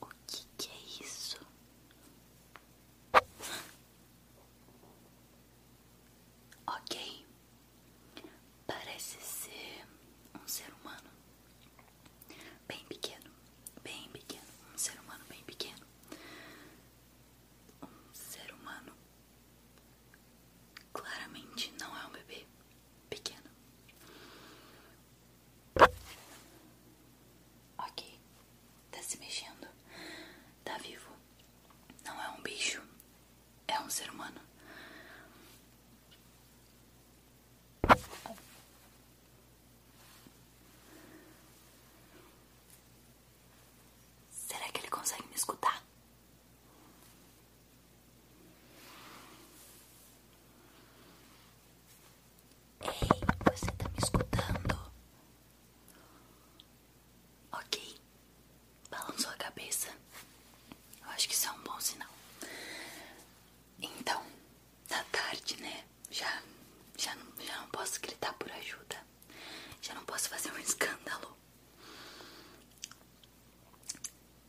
O que, que é isso? Ok, parece ser um ser humano bem pequeno, bem pequeno, um ser humano bem pequeno, um ser humano claramente não é um bebê pequeno. Ok, tá se mexendo, tá vivo, não é um bicho, é um ser humano. Será que ele consegue me escutar? Ei, você tá me escutando? Ok, balançou a cabeça. Eu acho que isso é um bom sinal. Então, da tarde, né? Já, já, não, já não posso gritar por ajuda. Já não posso fazer um escândalo.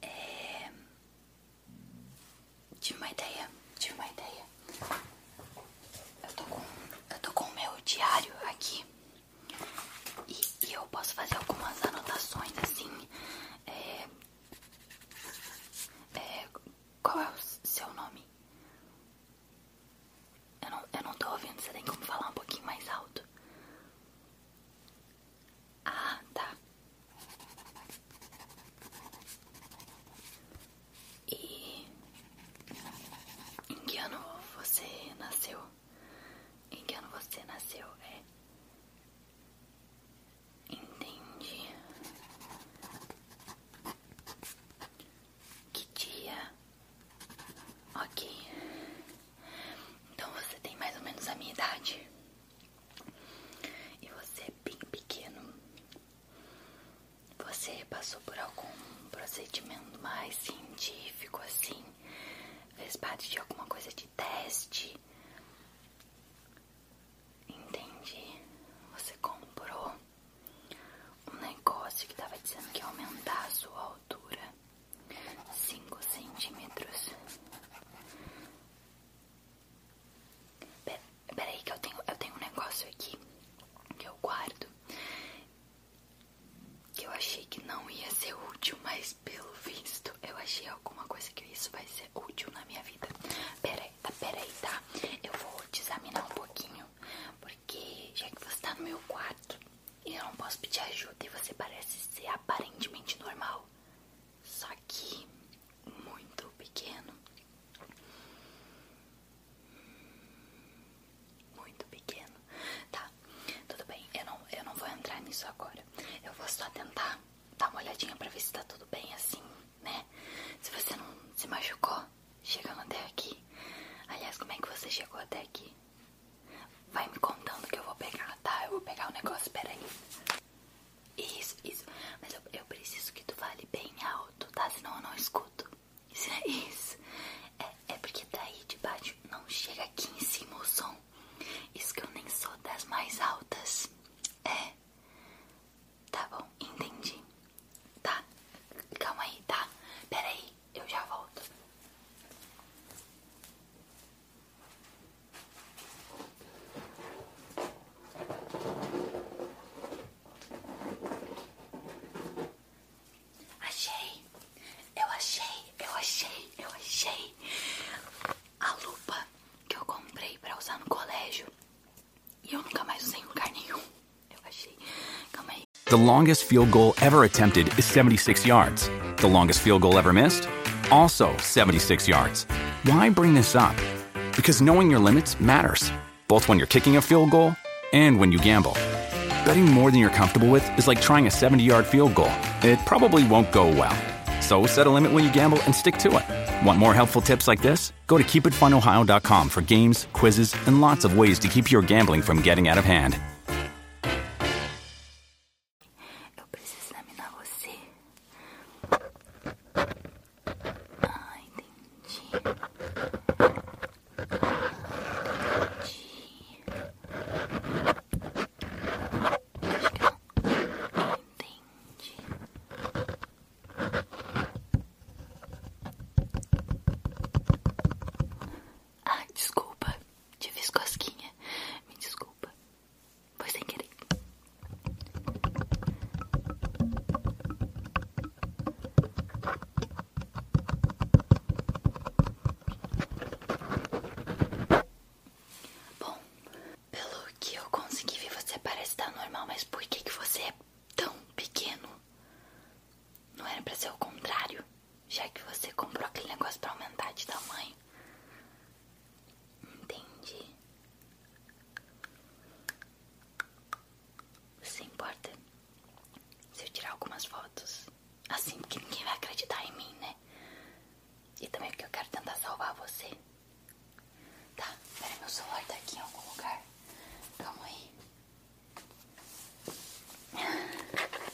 É... Tive uma ideia, tive uma ideia. Eu tô com, eu tô com o meu diário aqui. E, eu posso fazer algumas anotações assim. É, é, qual é o seu nome? Eu não, tô ouvindo, você tem como falar um pouquinho mais alto. Ah, tá. E em que ano você nasceu? Em que ano você nasceu? É. Entendi. Que dia? Ok. Então você tem mais ou menos a minha idade. E você é bem pequeno. Você passou por algum procedimento mais científico assim? Fez parte de alguma coisa de teste? Entendi. Você comprou um negócio que tava dizendo que ia aumentar a sua altura 5 centímetros. Pera, peraí que eu tenho, eu tenho um negócio aqui que eu guardo. Que eu achei que não ia ser útil, mas pelo visto eu achei alguma coisa que isso vai ser útil na minha vida. Peraí, tá, peraí, tá? Eu vou te examinar um pouquinho, porque já que você tá no meu quarto e eu não posso pedir ajuda e você parece ser aparentemente normal, só que muito pequeno. Muito pequeno. Tá, tudo bem, eu não, eu não vou entrar nisso agora. Eu vou só tentar dá uma olhadinha pra ver se tá tudo bem assim, né? Se você não se machucou chegando até aqui. Aliás, como é que você chegou até aqui? Vai me contando que eu vou pegar, tá? Eu vou pegar o um negócio, peraí. Isso, isso. Mas eu, preciso que tu fale bem alto, tá? Senão eu não escuto. Isso é isso. É, é porque daí de baixo não chega aqui em cima o som. Isso que eu nem sou das mais altas. É. Tá bom, entendi. Tá. Calma aí, tá? Pera aí, eu já volto. Achei, eu achei, eu achei, eu achei a lupa The longest field goal ever attempted is 76 yards. The longest field goal ever missed? Also 76 yards. Why bring this up? Because knowing your limits matters, both when you're kicking a field goal and when you gamble. Betting more than you're comfortable with is like trying a 70 yard field goal, it probably won't go well. So set a limit when you gamble and stick to it. Want more helpful tips like this? Go to keepitfunohio.com for games, quizzes, and lots of ways to keep your gambling from getting out of hand. Acho que ela entende. Ah, desculpa. Te escosquinha. Me desculpa. Foi sem querer. Bom, pelo que eu consegui ver, você parece estar normal, mas por que, que você é tão pequeno? Não era pra ser o contrário, já que você comprou aquele negócio pra aumentar de tamanho. Entendi. Você importa se eu tirar algumas fotos? Assim, porque ninguém vai acreditar em mim, né? E também que eu quero tentar salvar você. Tá, peraí, meu celular tá aqui em algum lugar. Calma aí.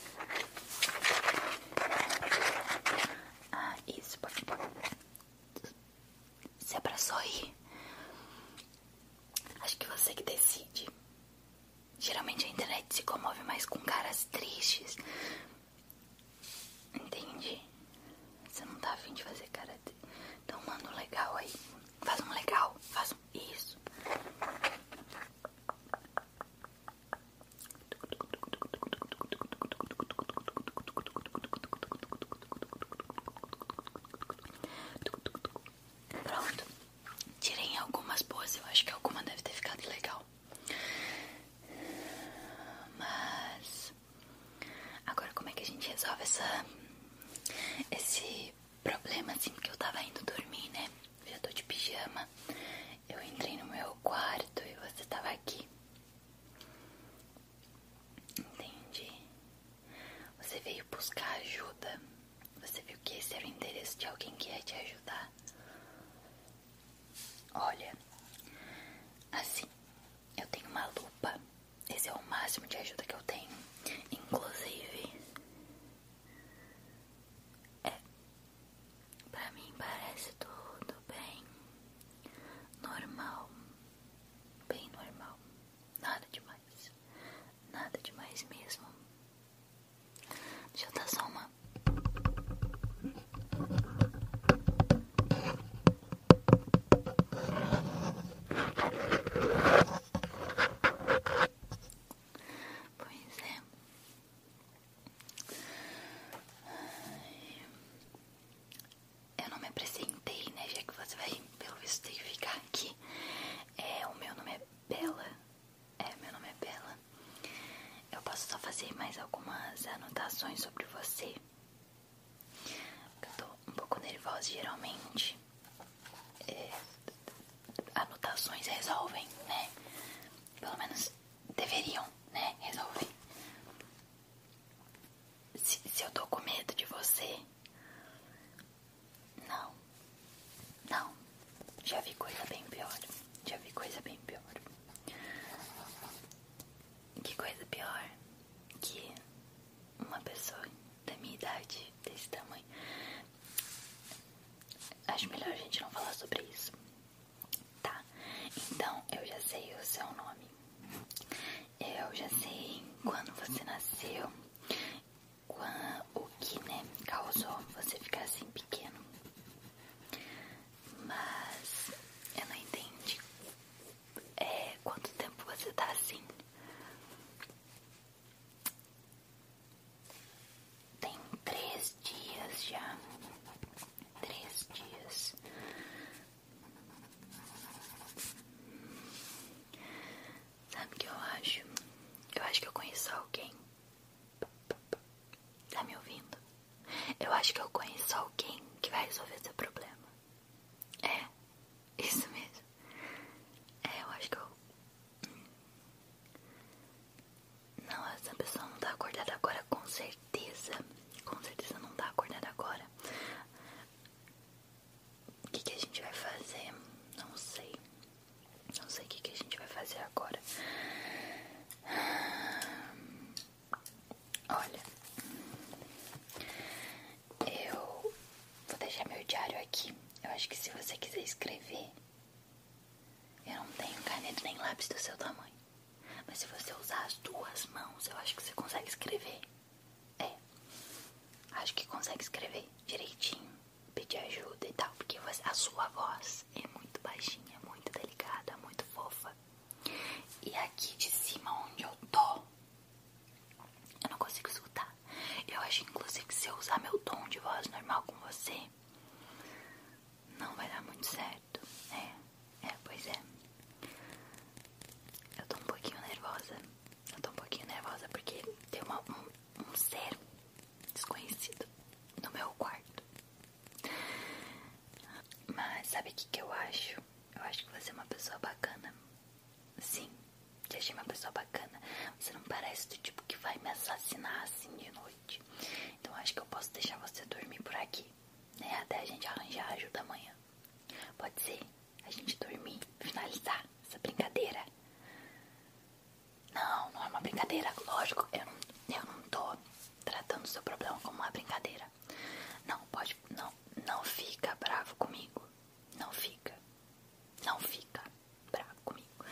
Ah, isso, por favor. Se é pra só ir. Acho que você que decide. Geralmente a internet se comove mais com caras tristes. Entendi. Você não tá afim de fazer cara karatê. Então manda um legal aí. Faz um legal. Faz Isso. Pronto. Tirei algumas boas. Eu acho que alguma deve ter ficado legal. Mas agora como é que a gente resolve essa esse problema assim que eu tava indo dormir, né? Eu já tô de pijama. Eu entrei no meu quarto e você tava aqui. Entendi. Você veio buscar ajuda. Você viu que esse era o endereço de alguém que ia te ajudar. Olha, assim, eu tenho uma lupa. Esse é o máximo de ajuda que eu tenho. Inclusive, é, pra mim parece tudo bem normal. Bem normal. Nada demais. Nada demais mesmo. Deixa eu dar só uma Pois é. Eu não me apresentei, né? Já que você vai, pelo visto, ter que ficar aqui. É, o meu nome é Bela. É, meu nome é Bela. Eu posso só fazer mais algumas anotações sobre você. Eu tô um pouco nervosa geralmente. É, anotações resolvem, né? Pelo menos deveriam, né? Resolver. Se, se eu tô com medo de você. Não. Não. Já vi coisa bem pior. Já vi coisa bem pior. Que coisa pior que uma pessoa da minha idade, desse tamanho. Acho melhor a gente não falar sobre isso. Tá, então eu já sei o seu nome. Eu já sei quando você nasceu, o que né, causou você ficar assim pequeno. Mas eu não entendi é, quanto tempo você tá assim. Tem três dias já. Três dias. Sabe o que eu acho? Eu acho que eu conheço alguém Tá me ouvindo? Eu acho que eu conheço alguém que vai resolver seu problema. É, isso mesmo. É, eu acho que eu. Hum. Não, essa pessoa não tá acordada agora, com certeza. Com certeza não tá acordada agora. O que, que a gente vai fazer? Não sei. Não sei o que, que a gente vai fazer agora. Ah, olha, eu vou deixar meu diário aqui. Eu acho que se você quiser escrever, eu não tenho caneta nem lápis do seu tamanho. Mas se você usar as duas mãos, eu acho que você consegue escrever. É, acho que consegue escrever direitinho, pedir ajuda e tal, porque a sua voz é muito baixinha, muito delicada, muito fofa. E aqui de cima onde eu tô, eu não consigo escutar. Eu acho inclusive que se eu usar meu tom de voz normal com você, não vai dar muito certo. É, é, pois é. Eu tô um pouquinho nervosa. Eu tô um pouquinho nervosa porque tem um, um ser desconhecido no meu quarto. Mas sabe o que, que eu acho? Eu acho que você é uma pessoa bacana. Sim, te achei uma pessoa bacana. Você não parece do tipo que vai me assassinar assim de noite. Então acho que eu posso deixar você dormir por aqui, né? Até a gente arranjar ajuda amanhã. Pode ser? A gente dormir, finalizar essa brincadeira. Não, não é uma brincadeira. Lógico, eu não, eu não tô tratando o seu problema como uma brincadeira. Não, pode. Não, não fica bravo comigo. Não fica. Não fica bravo comigo.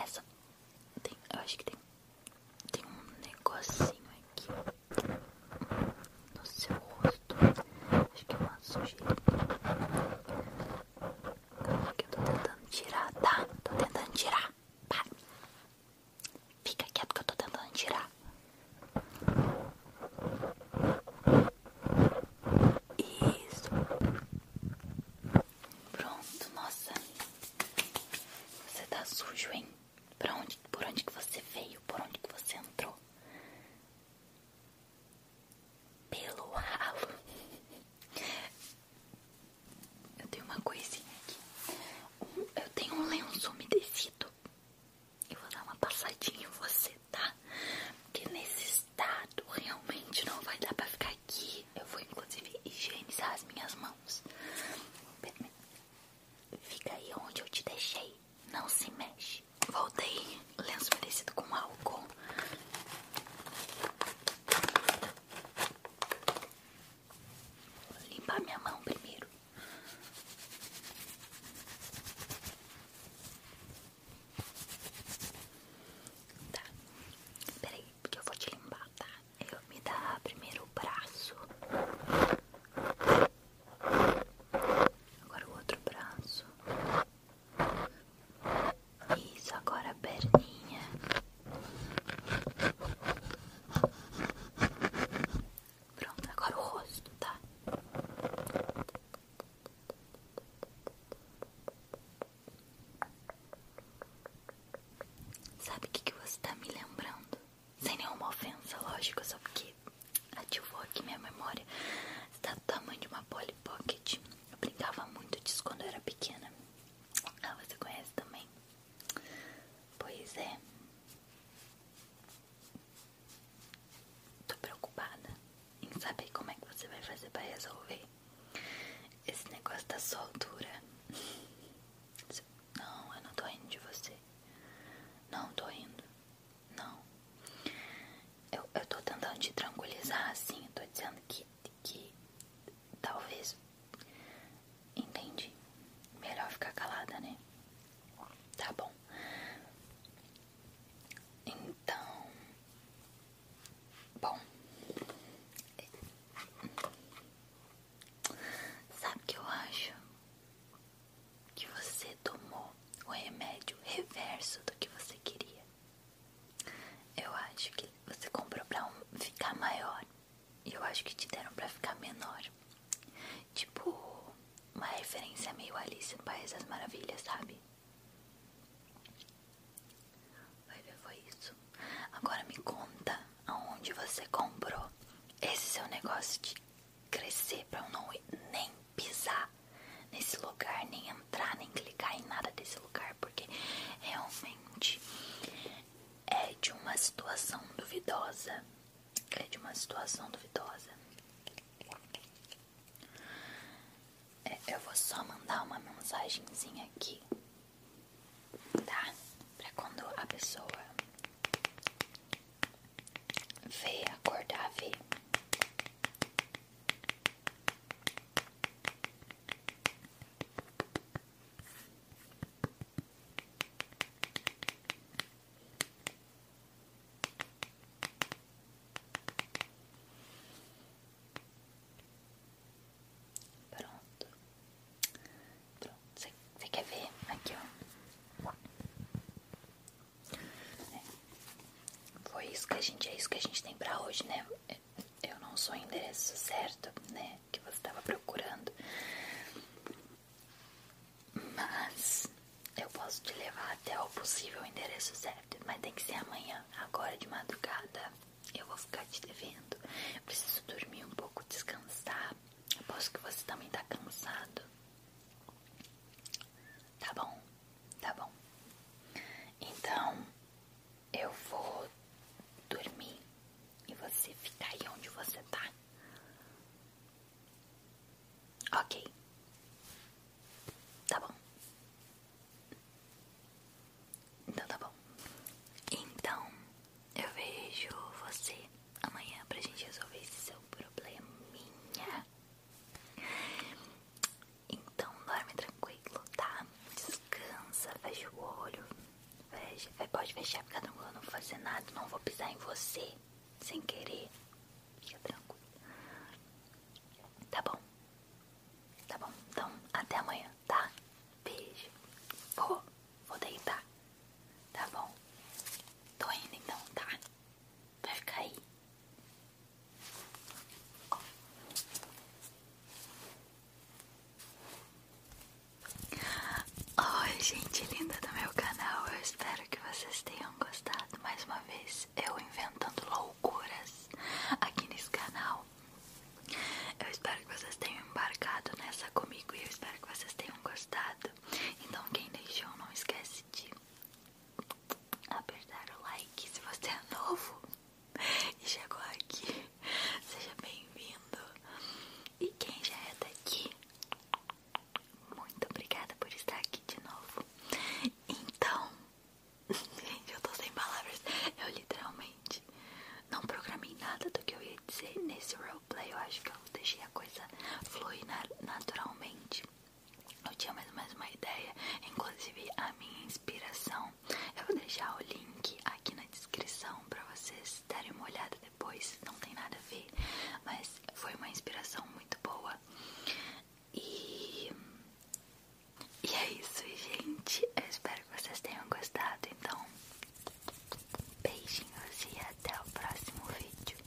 Essa. Tem, eu acho que tem. Tem um negocinho aqui. No seu rosto. Acho que é uma sujeirinha. Calma que eu tô tentando tirar, tá? Tô tentando tirar. Para. Fica quieto que eu tô tentando tirar. Isso. Pronto, nossa. Você tá sujo, hein? Pra onde, por onde que você veio? Por onde que você entrou? Pelo ralo. Eu tenho uma coisinha aqui. eu tenho um lenço umedecido. Eu vou dar uma passadinha em você, tá? Porque nesse estado realmente não vai dar pra ficar aqui. Eu vou inclusive higienizar as minhas mãos. Fica aí onde eu te deixei. Não se mexe. Voltei lenço umedecido com álcool. Vou limpar minha mão primeiro. Tá. Peraí, porque eu vou te limpar, tá? Eu me dá primeiro o braço. Agora o outro braço. Isso, agora a perninha. Pronto, agora o rosto, tá? Sabe o que, que você tá me lembrando? Sem nenhuma ofensa, lógico, só porque ativou aqui minha memória. Você tá do tamanho de uma Polly Pocket. Eu brincava muito disso quando eu era pequena. Ah, você conhece também? Pois é. Tô preocupada em saber como é que você vai fazer para resolver. Esse negócio da soldura. Não, eu não tô rindo de você. Não tô rindo. Não. Eu, eu tô tentando te tranquilizar assim. tô dizendo que que talvez entendi. Melhor ficar calada, né? Tá bom. Então, bom. Sabe o que eu acho? Que você tomou o remédio reverso do que você queria. Eu acho que você comprou pra ficar maior. E eu acho que te deram pra ficar menor. Tipo, uma referência meio Alice no País das Maravilhas, sabe? Vai ver, foi isso. Agora me conta aonde você comprou esse seu negócio de crescer pra eu não nem pisar nesse lugar, nem entrar nem clicar em nada desse lugar, porque realmente é de uma situação duvidosa. É de uma situação duvidosa. É, eu vou só mandar uma mensagenzinha aqui, tá? Pra quando a pessoa vê, acordar, vê. Pronto. Pronto. Você quer ver? Aqui, ó. É. Foi isso que a gente, é isso que a gente tem pra hoje, né? eu não sou o endereço certo, né? Que você estava procurando. Mas eu posso te levar até o possível endereço certo. Mas tem que ser amanhã, agora de madrugada. Eu vou ficar te devendo. preciso dormir um pouco, descansar. Aposto que você também tá cansado. Tá bom? Tá bom. Então eu vou dormir e você ficar aí onde você tá. Ok. Tá bom. Então tá bom. Então eu vejo você amanhã pra gente resolver esse seu probleminha. Então dorme tranquilo, tá? Descansa, fecha o olho. Fecha, é, pode fechar, fica tranquilo, não vou fazer nada, não vou pisar em você sem querer. Fica tranquilo. Tá bom. Tá bom. Então, até amanhã, tá? Beijo. Vou, vou deitar. Tá bom. Tô indo então, tá? Vai ficar aí. Oi, gente linda do meu canal. Eu espero que vocês tenham gostado. Mais uma vez, eu inventando loucuras aqui nesse canal. Eu espero que vocês tenham embarcado nessa comigo e eu espero que vocês tenham gostado. Então, quem deixou, não esquece de apertar o like se você é novo e chegou aqui. Seja bem-vindo. E quem já é daqui, muito obrigada por estar aqui de novo. Então, gente, eu tô sem palavras. Eu literalmente não programei nada do que eu ia dizer nesse roleplay. Eu acho que eu deixei a coisa fluir naturalmente eu tinha mais ou menos uma ideia, inclusive a minha inspiração. Eu vou deixar o link aqui na descrição para vocês darem uma olhada depois, não tem nada a ver, mas foi uma inspiração muito boa. E, é isso, gente. Eu espero que vocês tenham gostado. Então, beijinhos e até o próximo vídeo.